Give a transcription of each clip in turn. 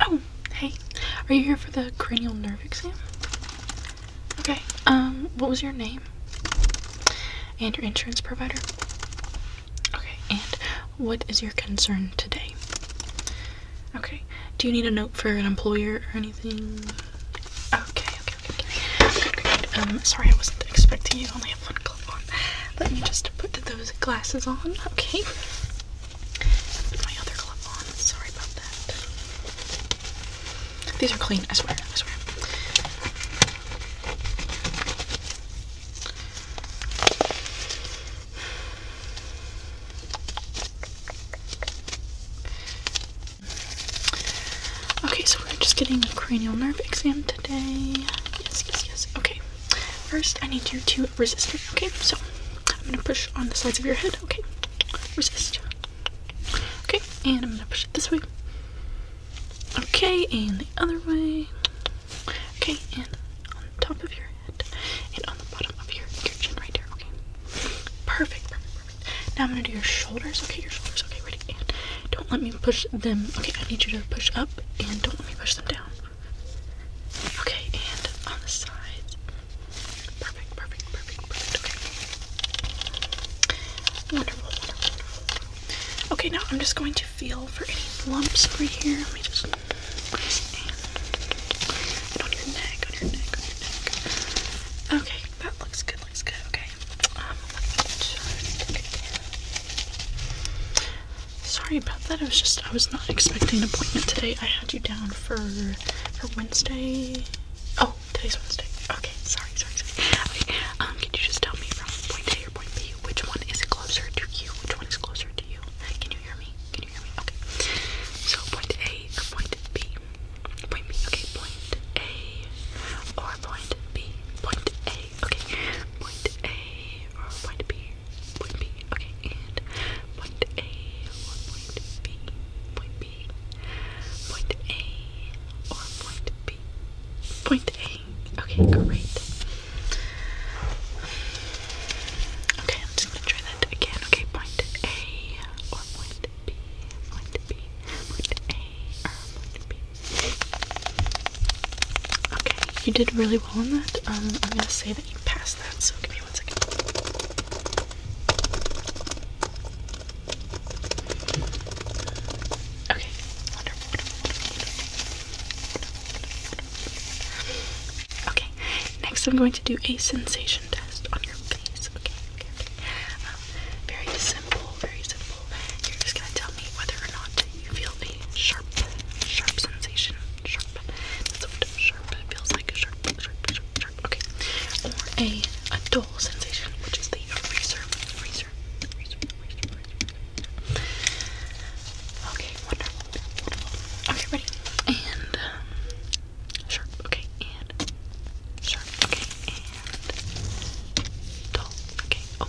Oh, hey. Are you here for the cranial nerve exam? Okay. Um, what was your name? And your insurance provider? Okay. And what is your concern today? Okay. Do you need a note for an employer or anything? Okay, okay, okay. okay. Good, good, good. Um, sorry I wasn't expecting you. Only let me just put those glasses on, okay? my other glove on. Sorry about that. These are clean, I swear, I swear. Okay, so we're just getting a cranial nerve exam today. Yes, yes, yes. Okay. First, I need you to resist okay? So, I'm gonna push on the sides of your head, okay? Resist. Okay, and I'm gonna push it this way. Okay, and the other way. Okay, and on the top of your head, and on the bottom of your, your chin right there, okay? Perfect, perfect, perfect. Now I'm gonna do your shoulders, okay? Your shoulders, okay, ready? And don't let me push them, okay? I need you to push up, and don't let me push them down. Okay, and on the sides. Perfect, perfect, perfect, perfect. Wonderful, Okay, now I'm just going to feel for any lumps over here. Let me just Okay, that looks good, looks good. Okay. Um, Sorry about that. I was just I was not expecting an appointment today. I had you down for for Wednesday. Oh, today's Wednesday. Okay, sorry, sorry, sorry. Okay, um, can you just tell me from point A or point B which one is closer to you? Which one is closer to you? Can you hear me? Can you hear me? Okay. So point A or point B? Point B. Okay, point A or point B? Point A. Okay, point A or point B? point B, okay, and point A, or point B, point B, point A, or point B, point A, okay, great. Okay, I'm just gonna try that again, okay, point A, or point B, point B, point A, or point B. Okay, you did really um, I'm gonna say that you passed that, so give me one second. Okay, Okay, next I'm going to do a sensation test on your face. Okay, okay, okay. Um, very simple, very simple. You're just gonna tell me whether or not you feel a sharp, sharp sensation. Sharp. That's a sharp it feels like. Sharp, sharp, sharp, Okay. Or a, dull sensation, which is the eraser. Eraser. Okay, wonderful. Okay, ready? And um, sharp. Okay, and sharp. Okay, and dull. Okay. Oh.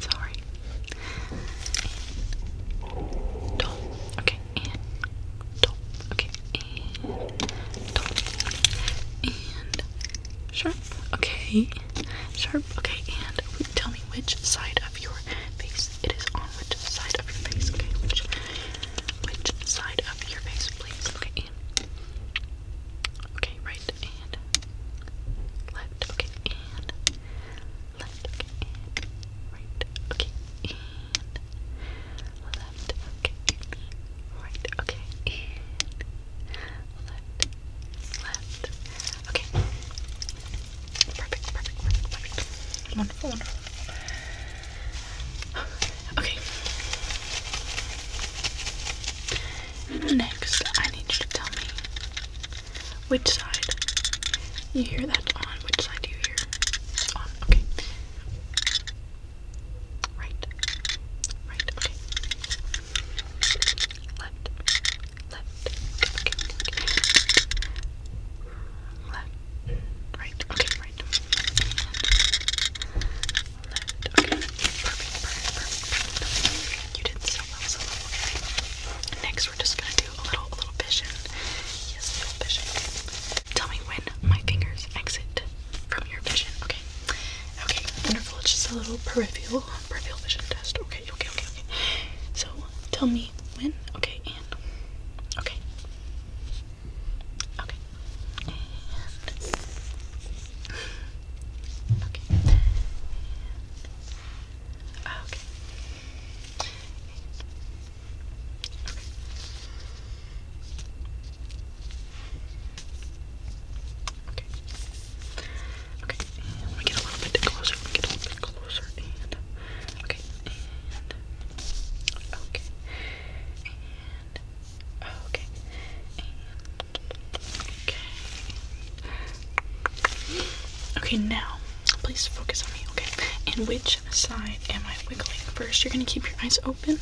Sorry. And Okay, and top. Okay, and top. And sharp. Okay, sharp. Okay, and tell me which side of your face it is on. Which side of your face? Okay, which which side of your face, please? Okay, okay, right and left. Okay, and left, okay, right, okay, left, okay, right, okay, left, left, okay, perfect, perfect, perfect, perfect, wonderful, wonderful, okay, next I need you to tell me which side? You hear that on? Which side do you hear? on. Okay. Right. Right. Okay. Left. Left. Okay. Left. Right. Okay. Right. Left. Okay. You did so so well, Next, we're just gonna do a little, a little vision. Yes, a little vision. Tell me when my fingers exit from your vision. Okay. Okay. Wonderful. It's just a little peripheral, peripheral vision test. Okay. Okay. Okay. Okay. So, tell me when. Okay. And okay. Okay. And Okay. Okay. Okay. Okay. And we get a little bit closer. get a little bit closer. okay. okay. okay. okay. Okay. Now Please focus on me, okay? And which side am I wiggling? First, you're going to keep your eyes open,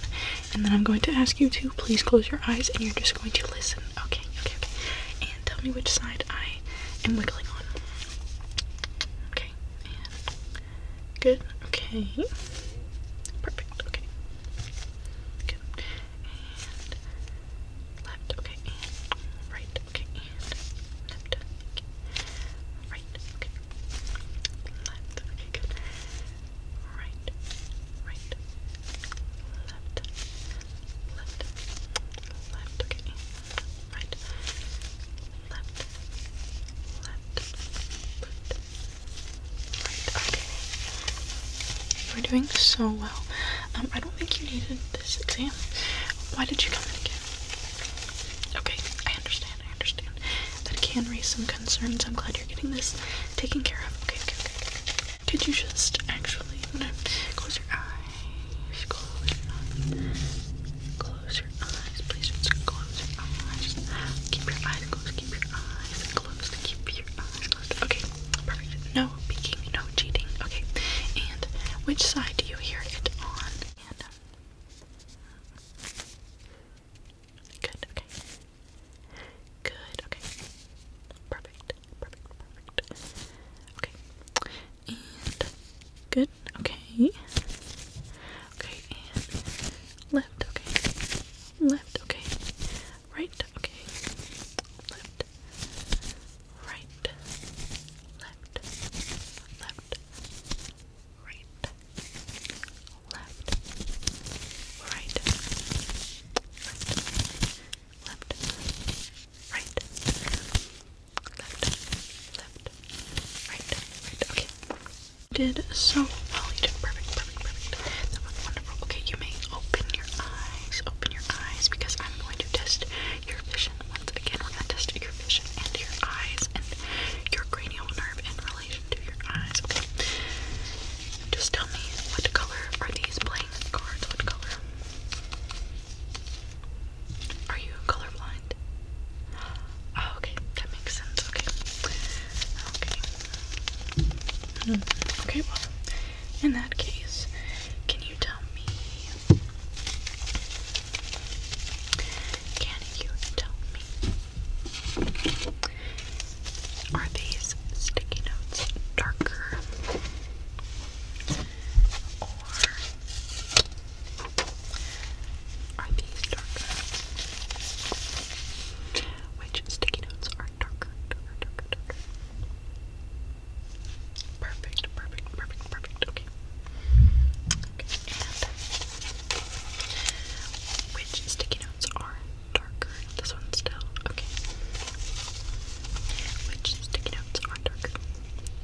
and then I'm going to ask you to please close your eyes, and you're just going to listen, okay? Okay, okay. And tell me which side I am wiggling on. Okay, good, okay. Perfect, okay. Good. left, okay, right, okay, left, right, left, okay, good, right, right, left, left, left, okay, right, left, left, left, right, okay. You're doing so well. Um, I don't think you needed this exam. Why did you come in again? Okay, I understand, I understand. That can raise some concerns. I'm glad you're getting this taken care of. Okay, okay, okay. Could you just actually close your eyes? Close your eyes. Close your eyes, please. close your eyes. Keep your eyes closed, keep your eyes closed, keep your eyes closed. Okay, perfect. No peeking, no cheating. Okay. And which side do you hear it on? good, okay. Good, okay. Perfect, perfect, perfect. Okay. good, okay. Okay, left, okay. Left, okay. Right, okay. Left right, left, left, right, left, right, left, left, right, left, left, right, right, okay. Did so well, you did perfect, perfect, perfect. That was wonderful. Okay, you may open your eyes, open your eyes because I'm going to test your vision. Once again, we're going your vision and your eyes and your cranial nerve in relation to your eyes. Okay. Just tell me what color are these playing cards? What color? Are you colorblind? Oh, okay, that makes sense. Okay. Okay. Hmm, okay, well, in that case, can you tell me can you tell me? Are these sticky notes darker or are these darker? Which sticky notes are darker? Perfect, perfect, perfect, perfect. Okay. which sticky notes are darker? This one still. Okay. Which sticky notes are darker?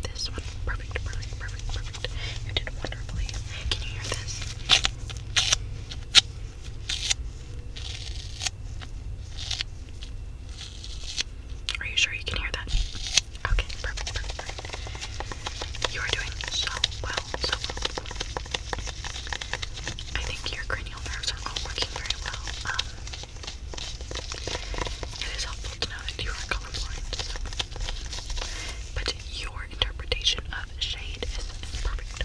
This one. Perfect, perfect, perfect, perfect. You did wonderfully. Can you hear this? Are you sure you can hear that? Okay, You are doing so well, so well. I think your cranial nerves are all working very well. Um, it is helpful to know that you are colorblind, so. But your interpretation of shade is perfect.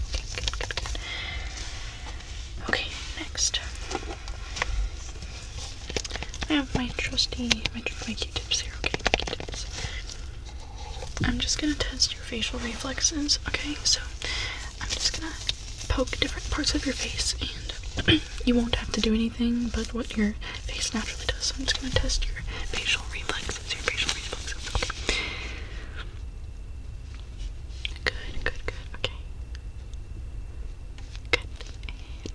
Okay, Okay, next. I have my trusty, my, Q-tips here, okay, Q-tips. I'm just gonna test your facial reflexes, okay? So, I'm just gonna poke different parts of your face, and you won't have to do anything but what your face naturally does. So I'm just gonna test your facial reflexes, your facial reflexes, okay? Good, good, good, okay. Good,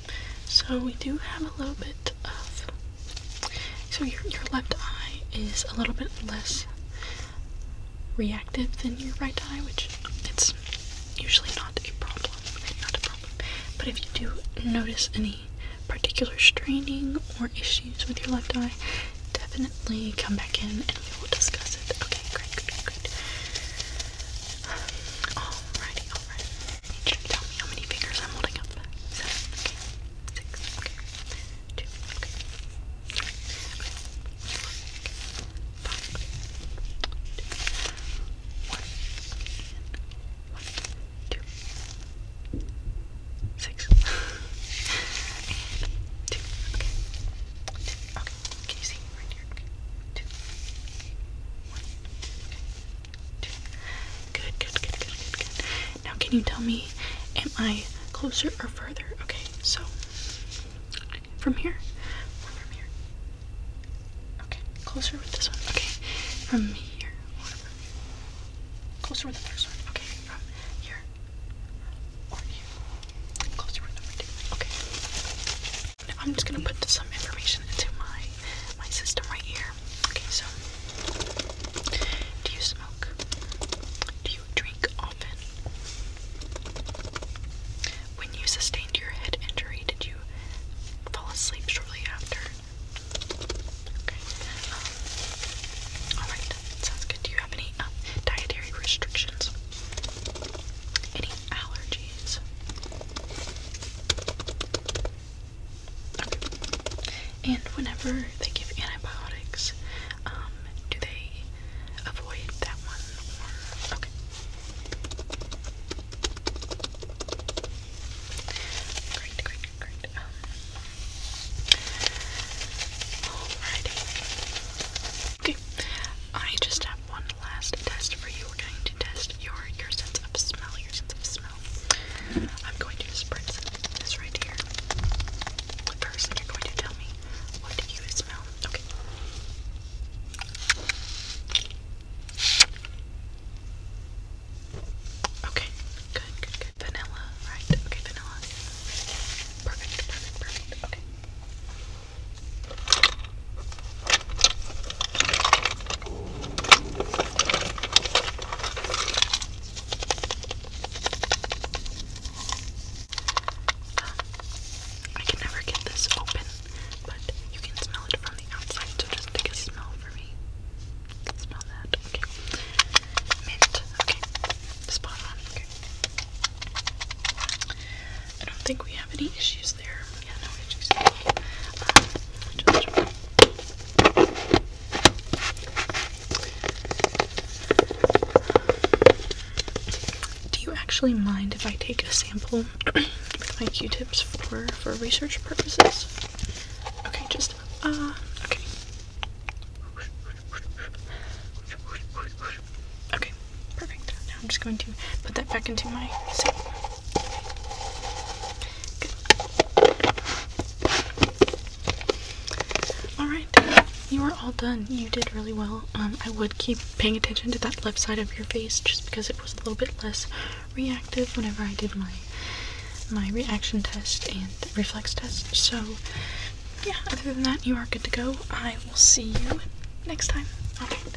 So we do have a little bit of. So your your left eye is a little bit less reactive than your right eye, which it's usually not a problem. Not a problem. But if you do notice any particular straining or issues with your left eye, definitely come back in and we will discuss it. Okay, great, great, alrighty, alright tell me how many fingers I'm holding up. Seven, okay. Six, okay. Two, okay. Five, okay. one, and one, two, six, two, okay. Two, okay. Can you see right here? Two, one, Good, good, good, good, good, good. Now, can you tell me, am I closer or further? Okay, so from here or from here? Okay, closer with this one. Okay, from here Closer with the first one. Okay, from here or here? Closer with number two. Okay. I'm just gonna put some information into my my system right here. Okay, so do you smoke? Do you drink often? When you sustained your head injury, did you fall asleep shortly after? Um, all right. Sounds good. Do you have any um, dietary restrictions? Any allergies? And whenever they give antibiotics, um, do they avoid that one okay? Great, great, great. Um, alrighty. Okay. I just have one last test for you. We're going to test your your sense of smell, your sense of smell. I'm going to spritz this right here. First, you're going to tell me what do you smell. Okay. Okay, good, Vanilla, right? Okay, vanilla. Perfect, perfect, perfect. Okay. I can never get this open, but you can smell it from the outside, so just take a smell for me. Smell that. Okay. Mint. Okay. Spot on. Okay. I don't think we have any issues there. Uh, do you actually mind if I take a sample with my Q-tips for for research purposes? Okay, just uh okay. Okay, perfect. Now I'm just going to put that back into my Alright, you are all done. You did really well. Um, I would keep paying attention to that left side of your face just because it was a little bit less reactive whenever I did my my reaction test and reflex test. So yeah, other than that, you are good to go. I will see you next time. Alright.